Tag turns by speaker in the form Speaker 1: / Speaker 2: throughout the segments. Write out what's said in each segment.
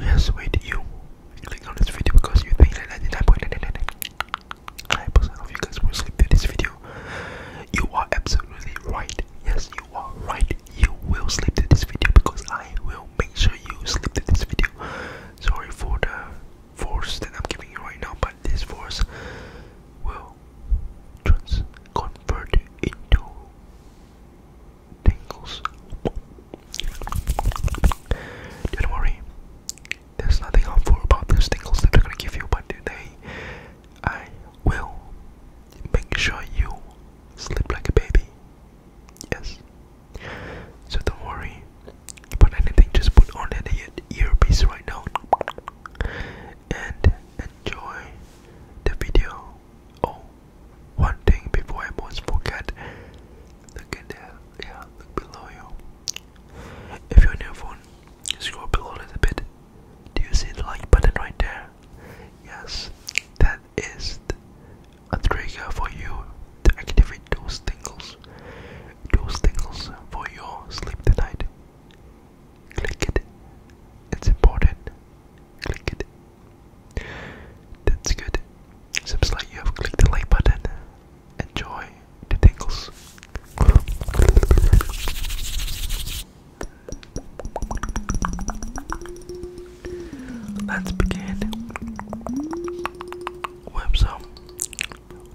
Speaker 1: Yes, wait, you click on this video because you think that 999 are absolutely right. Yes, you are right. You will sleep through this video because I will make sure you sleep through this video. Sorry for the force that I'm giving you right now, but this force will trans into tingles. Don't worry, there's nothing harmful about those tingles that they give you, but today I will make sure you sleep like a baby. Yes. So don't worry about anything, just put on that earpiece right now and enjoy the video. Oh, one thing before I almost forget. Look at there. Yeah, look below you. If you're on scroll below a bit. Do you see the like button right there? Yes, that is a trigger for you to activate those tingles. Those tingles for your sleep tonight. Click it. It's important click it. That's good. Seems like you have clicked the like button. Enjoy the tingles. Let's begin with some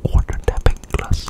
Speaker 1: water tapping glass.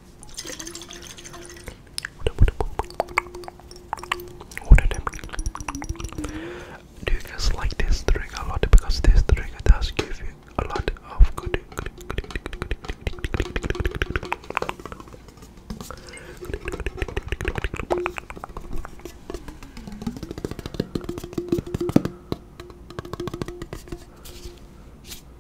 Speaker 1: Do you guys like this trigger a lot? Because this trigger does give you a lot of good.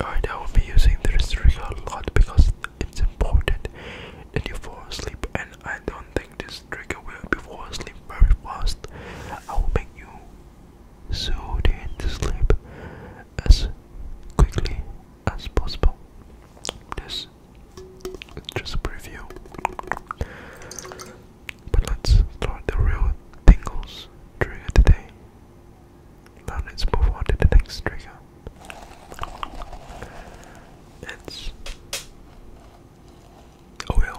Speaker 1: Alright, I will be using this restrict a lot because it's important that you fall asleep and I don't think this trigger will help you fall asleep very fast. I will make you soothe to sleep as quickly as possible. This is just a preview. But let's start the real tingles trigger today. let's move on to the next trigger. It's oil.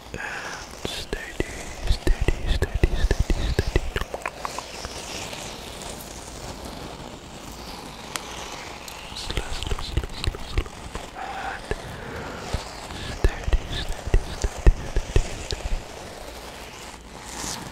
Speaker 1: and steady, steady, steady, steady, steady. Slow, slow, slow, slow, slow. And steady, steady, steady, steady, steady. Good,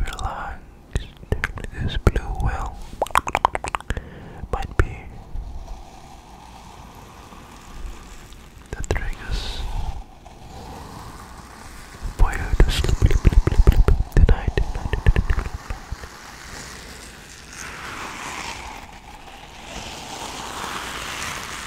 Speaker 1: relaxed. This blue well might be the triggers for you to sleep Tonight.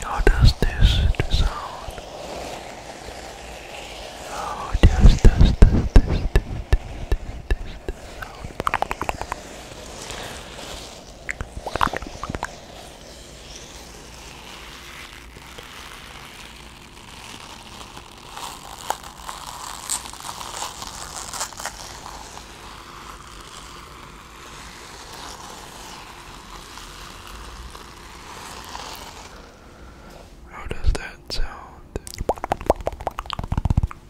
Speaker 1: How does this sound? How does this, this, this, this, this, this, this, this out. How does that sound?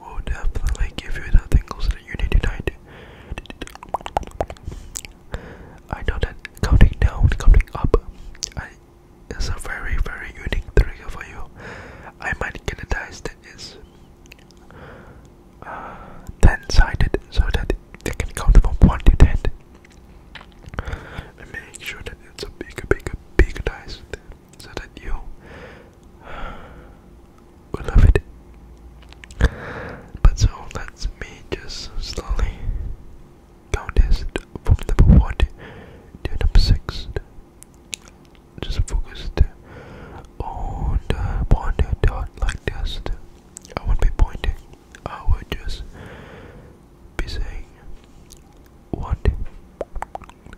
Speaker 1: will definitely give you the things that you need tonight. I know that counting down, counting up, I, a very, very unique trigger for you. I might get a dice that is uh, ten-sided, so that they can count from one to ten. make sure that it's a big, big, big dice so that you will love it. But so let me just slowly count this from number 1 to number 6. Just focused on the pointer like this. I won't be pointing, I will just be saying what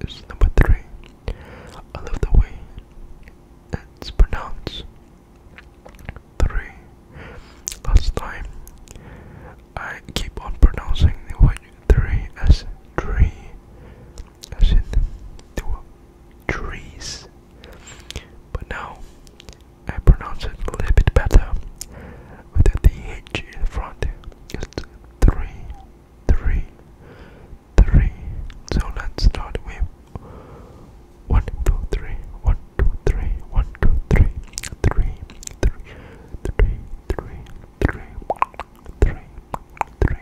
Speaker 1: is number three. I love the way it's pronounced. Three. Last time, I keep on pronouncing the word three as tree, as in two trees. But now, I pronounce it a little bit better with the H in front. It's three three, three. So let's start with one, two, three, one, two, three, one, two, three, three, three, three, three, three, three, three.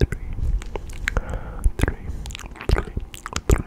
Speaker 1: Three, three, three, three,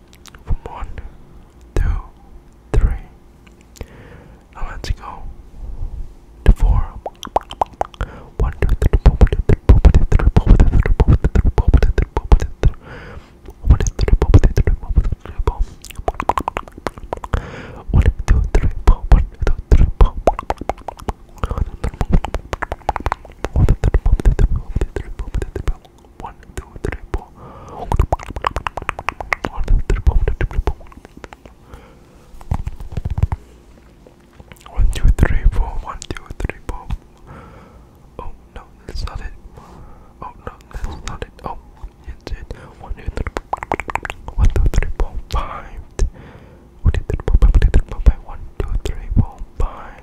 Speaker 1: from one, two, three. Now let's go to four. One, two, three, four, one, two, three, four, one, two, three, four, one, two, three, four, one, two, three, four, one, two, three, four, one, two, three, four, one, two, three, four, one, two, three, four, one, two, three, four. One, two, three, four, one, two, three, four. One, two, three, four, one, two, three, four, one, two, three, four, one, two, three, four. One, two, three, four. One, two, three, four. One, two, three, four. One, two, three, four. Oh no, that's not it. Oh no, that's not it. Oh, it's it. One, two, three, four. One, two, three, four, five. One, two, three, four, five. One, two, three, four, five.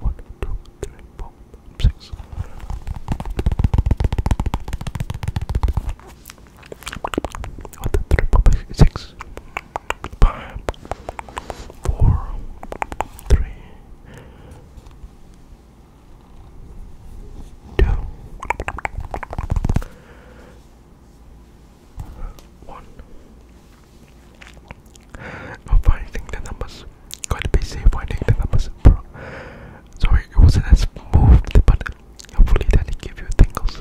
Speaker 1: One, two, three, four, six. One, two, three, four, five, six. Five, four, three, two, one. I'm finding the numbers. Quite busy finding the numbers, bro. Sorry, it wasn't as moved, but hopefully that it gave you tingles.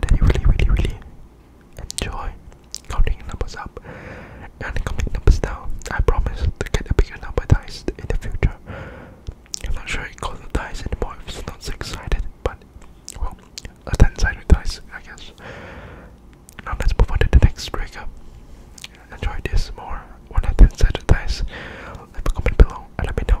Speaker 1: That you really, really, really enjoy counting numbers up and counting numbers down. I promise to get a bigger number dice in the future. I'm not sure it calls the dice anymore if it's not so excited, but well, a 10 sided dice, I guess. Now let's move on to the next trigger. Enjoy this more when I desensitize. Leave a comment below and let me know.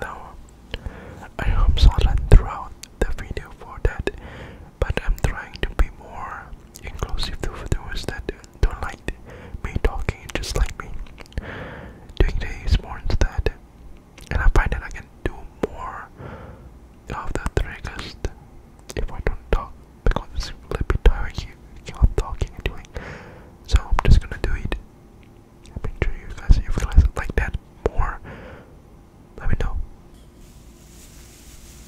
Speaker 1: Now, I hope Solan throughout the video for that, but I'm trying to be more inclusive to videos that don't like me talking just like me. Doing days more instead. And I find that I can do more of the triggers if I don't talk because it's a little bit tired here. talking and doing. So I'm just gonna do it. make sure you guys you realize like that more. Let me know.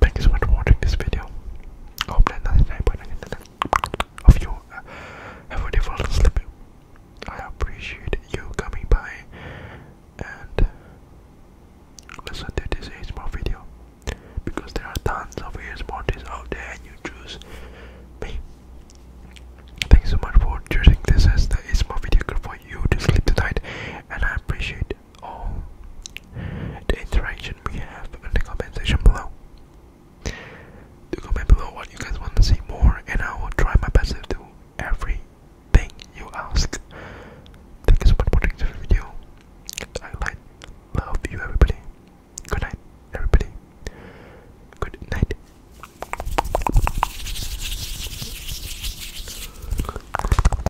Speaker 1: Thank you so much for watching this video. I hope that nothing happened of you. Uh, have a wonderful sleep. I appreciate you coming by and uh, listen to this ASMR video because there are tons of ASMR out there and you choose me. Thanks so much for choosing this ASMR video for you to sleep tonight and I appreciate all the interaction we have in the comment section below. Do comment below what you guys want to see more, and I will try my best to do everything you ask. Thank you so much for watching this video. I love you, everybody. Good night, everybody. Good night.